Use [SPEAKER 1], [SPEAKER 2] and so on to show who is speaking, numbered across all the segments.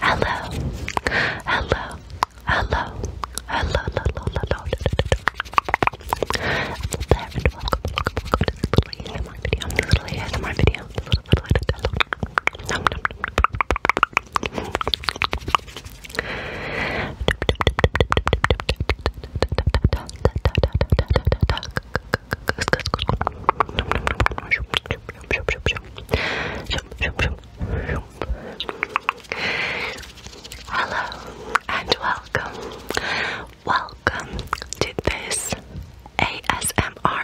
[SPEAKER 1] Hello, hello, hello, hello, hello, hello, hello there and welcome, welcome, welcome to this little ASMR video, this little ASMR video, this little, little, little, hello, nom, nom, nom, nom, Hello and welcome. Welcome to this ASMR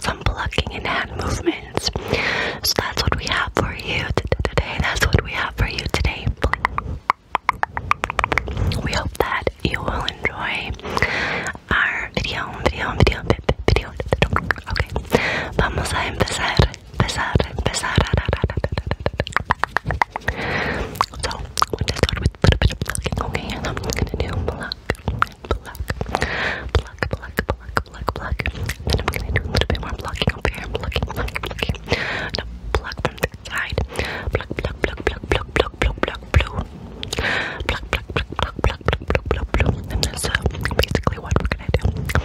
[SPEAKER 1] some plucking and hand movements. So that's what we have for you today. That's what we have for you today. We hope that you will enjoy our video, video, video, video. Okay. Vamos a empezar, empezar, empezar. So, we Okay, and I'm gonna do pluck, pluck, pluck, pluck, pluck, pluck, pluck. And then I'm gonna do a little bit more blocking over here. Plucking, plucking, plucking. Now pluck from the side. Pluck, pluck, pluck, pluck, pluck, pluck, pluck, pluck, blue. Pluck, pluck, pluck, pluck, pluck, pluck, pluck, pluck, blue. And that's uh, basically what we're gonna do.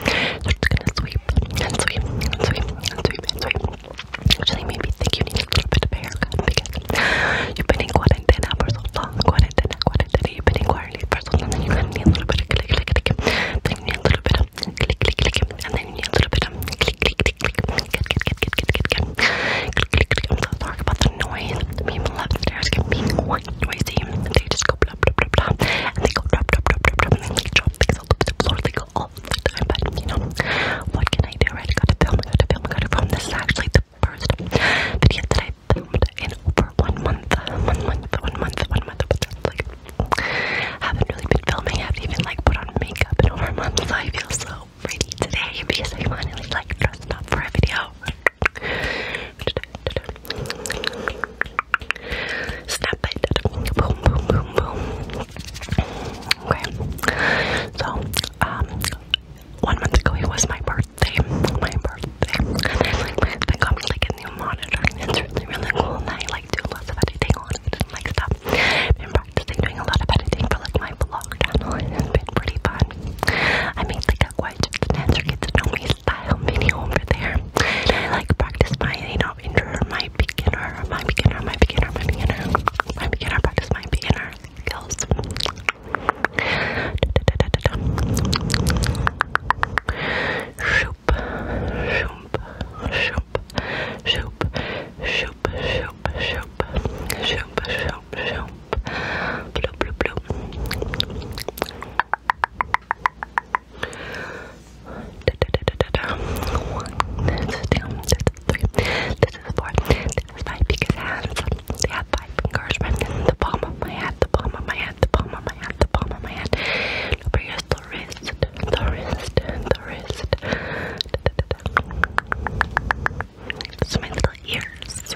[SPEAKER 1] So it's gonna sweep and sweep and sweep and sweep and sweep. Actually, maybe think you need a little bit of a haircut You've been in quarantine for so long, quarantine, quarantine. You've been in quarantine for so long, and you need a little bit of click, click, click. Then you need a little bit of click, click, click, and then you need a little bit of click, click, click, click. Get, get, get, get, get, get, get. Click, click, click. I'm so sorry about the noise. The people upstairs get being quite noisy. They just go blah, blah, blah, blah, and they go drop, drop, drop, drop, drop, and they like drop things all over the floor. They go all the time, but you know what can I do? Right? I gotta film. I gotta film. I gotta film. This is actually the first video that I filmed in over one month, one month, one month, one month, but that's like, haven't really been filming, I haven't even like put on makeup in over a month, so I feel so pretty today because I finally like dressed up for a video. Snap it, boom, boom, boom, boom. Okay, so, um, one month ago it was my birthday birthday, my birthday, and I like my husband got me like a new monitor, it's really really cool, and I like do lots of editing on it like stuff. I've been practicing doing a lot of editing for like my vlog channel, been pretty fun. I made like a quite just an answer me style video over there, I like practice my you know intro, my beginner, my beginner, my beginner, my beginner, my beginner, practice my beginner nothing else. Shoop, shoop, shoop, shoop, shoop, shoop, shoop, shoop, shoop, shoop, bloop, bloop, bloop. This is two, this is three, this is four, this my hands. They have five fingers the palm of my hand, the palm of my hand, the palm of my hand, the palm of my hand. Look, here's the wrist, the wrist, the wrist. Da, da, ears.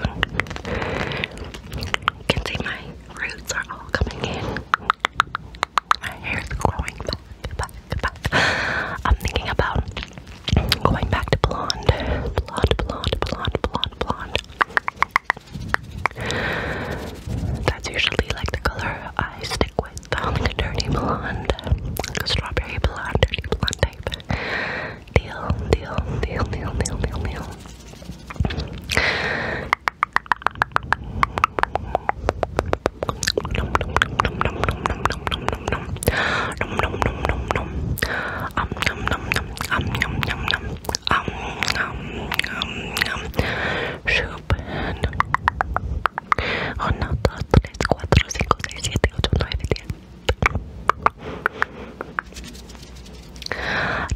[SPEAKER 1] You can see my roots are all coming in. My hair's growing back, back, back. I'm thinking about Going back to blonde. Blonde, blonde, blonde, blonde, blonde. That's usually like the color I stick with. Like a dirty blonde. strawberry blonde, dirty blonde type. Deal, deal, deal, deal, deal, deal, deal nom I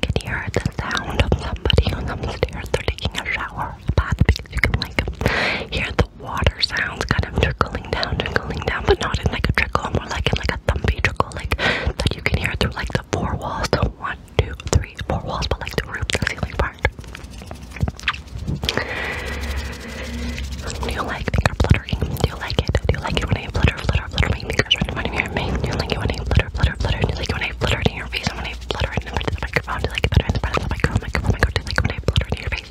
[SPEAKER 1] can hear the sound of somebody on the stairs. they taking a shower, a bath, because you can like hear the water sounds kind of trickling trickling down, going down, but not in like a trickle, more like in like a thumpy trickle, like that you can hear through like the four walls. The one, two, three, four walls, but like the roof, the ceiling part. Do you like finger fluttering? Do you like it? Do you like it when I flutter, flutter, flutter my fingers right in front of Do you like it when I flutter, flutter, flutter? Do you like when I flutter in your face? And when I flutter it in front of the microphone? Do you like it better in front of the microphone? Microphone, microphone? Do you like it when I flutter in your face?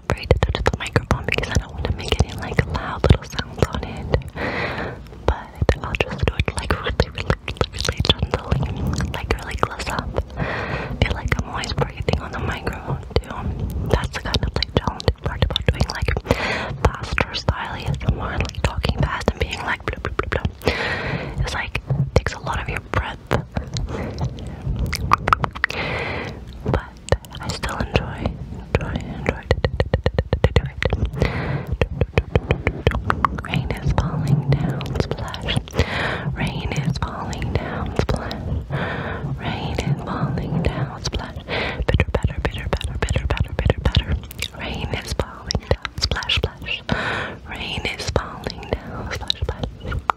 [SPEAKER 1] like touch the microphone because I don't want to make any like loud little sounds on it. But I'll just do it like really, really, really gently, like really close up. I feel like I'm always breathing on the microphone too. That's the kind of like challenging part about doing like faster style ASMR, like talking fast and being like blah blah blah blah. It's like takes a lot of your breath but I still enjoy, enjoy, enjoy it. Rain is falling down, splash. Rain is falling down, splash. Rain is falling down, splash. Bitter, better, bitter, better, bitter, better, bitter, better. Rain is falling down, splash, splash. Rain is falling down, splash, splash.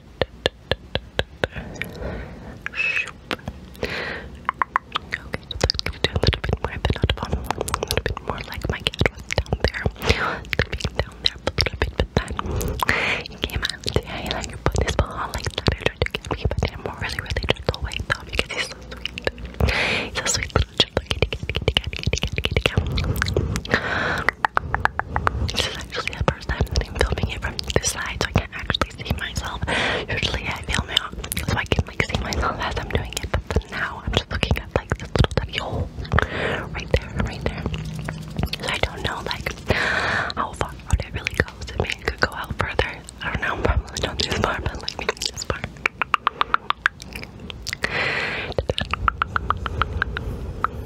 [SPEAKER 1] Okay, so let's give you a little bit more of an audible, a little bit more like my cat was down there. Sleeping down there a little bit, but then he came out and said, like put this ball like that, I tried to get me, but I'm really, really just away though because he's so sweet. He's a sweet little gentle kitty, kitty, kitty, kitty, kitty, kitty, kitty, kitty, kitty. This is actually the first time that I'm filming it from this side, so I can't actually see myself. Usually I film it so I can like see myself as I'm doing it, but for now I'm just looking at like this little tiny hole right there, right there. So I don't know like how far out it really goes. It could go out further. I don't know, probably not this far, but like maybe this part.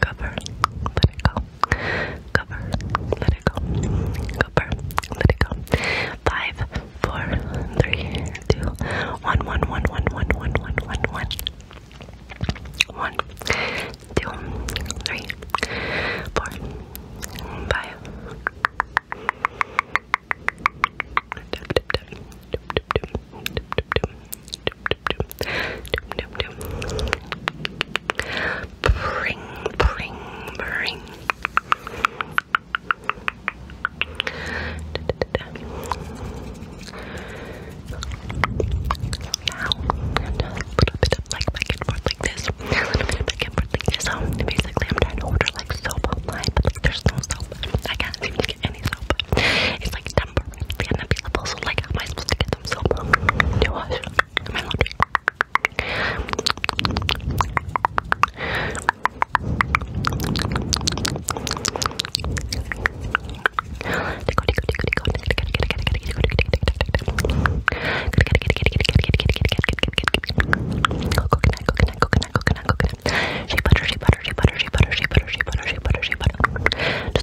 [SPEAKER 1] cover, let it go, cover, let it go, cover, let it go. Five, four, three, two, one, one, one, one, one, one, one, one, one. One, two, three, four, five. Tip, tip, Bring, bring, bring. Now, and a little bit of like back and forth like this, a little bit of back and forth like this. Um, basically, I'm trying to order like soap online, but like there's no soap. I can't seem to get any soap. It's like like temporarily unavailable, so like, how am I supposed to get them so to wash my laundry? Coconut, coconut, coconut, coconut, coconut. Shea butter, shea butter, shea butter, shea butter, shea butter, shea butter, shea butter, shea butter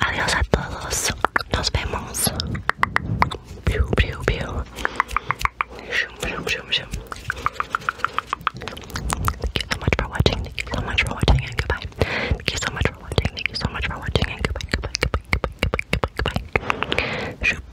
[SPEAKER 1] Adiós todos. Nos vemos. Piu, piu, piu. Shum, shum, shum, shum. Thank you so much for watching. Thank you so much for watching and goodbye. Thank you so much for watching. Thank you so much for watching goodbye. Goodbye. Goodbye. Goodbye. Goodbye. Goodbye. goodbye. Shoop.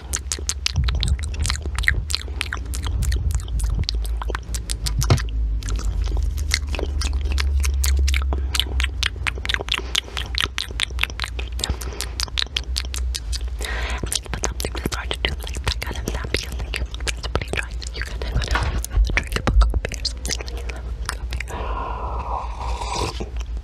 [SPEAKER 1] But something that's hard to do, like that kind of that, because like your friends are pretty dry, so you kind of gotta drink a book of beer, something like that.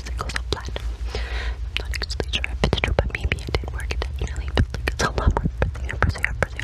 [SPEAKER 1] it goes offline. I'm not actually sure if it's true, but maybe it did work. It definitely feels like it's a lot more pressing pressing pressing.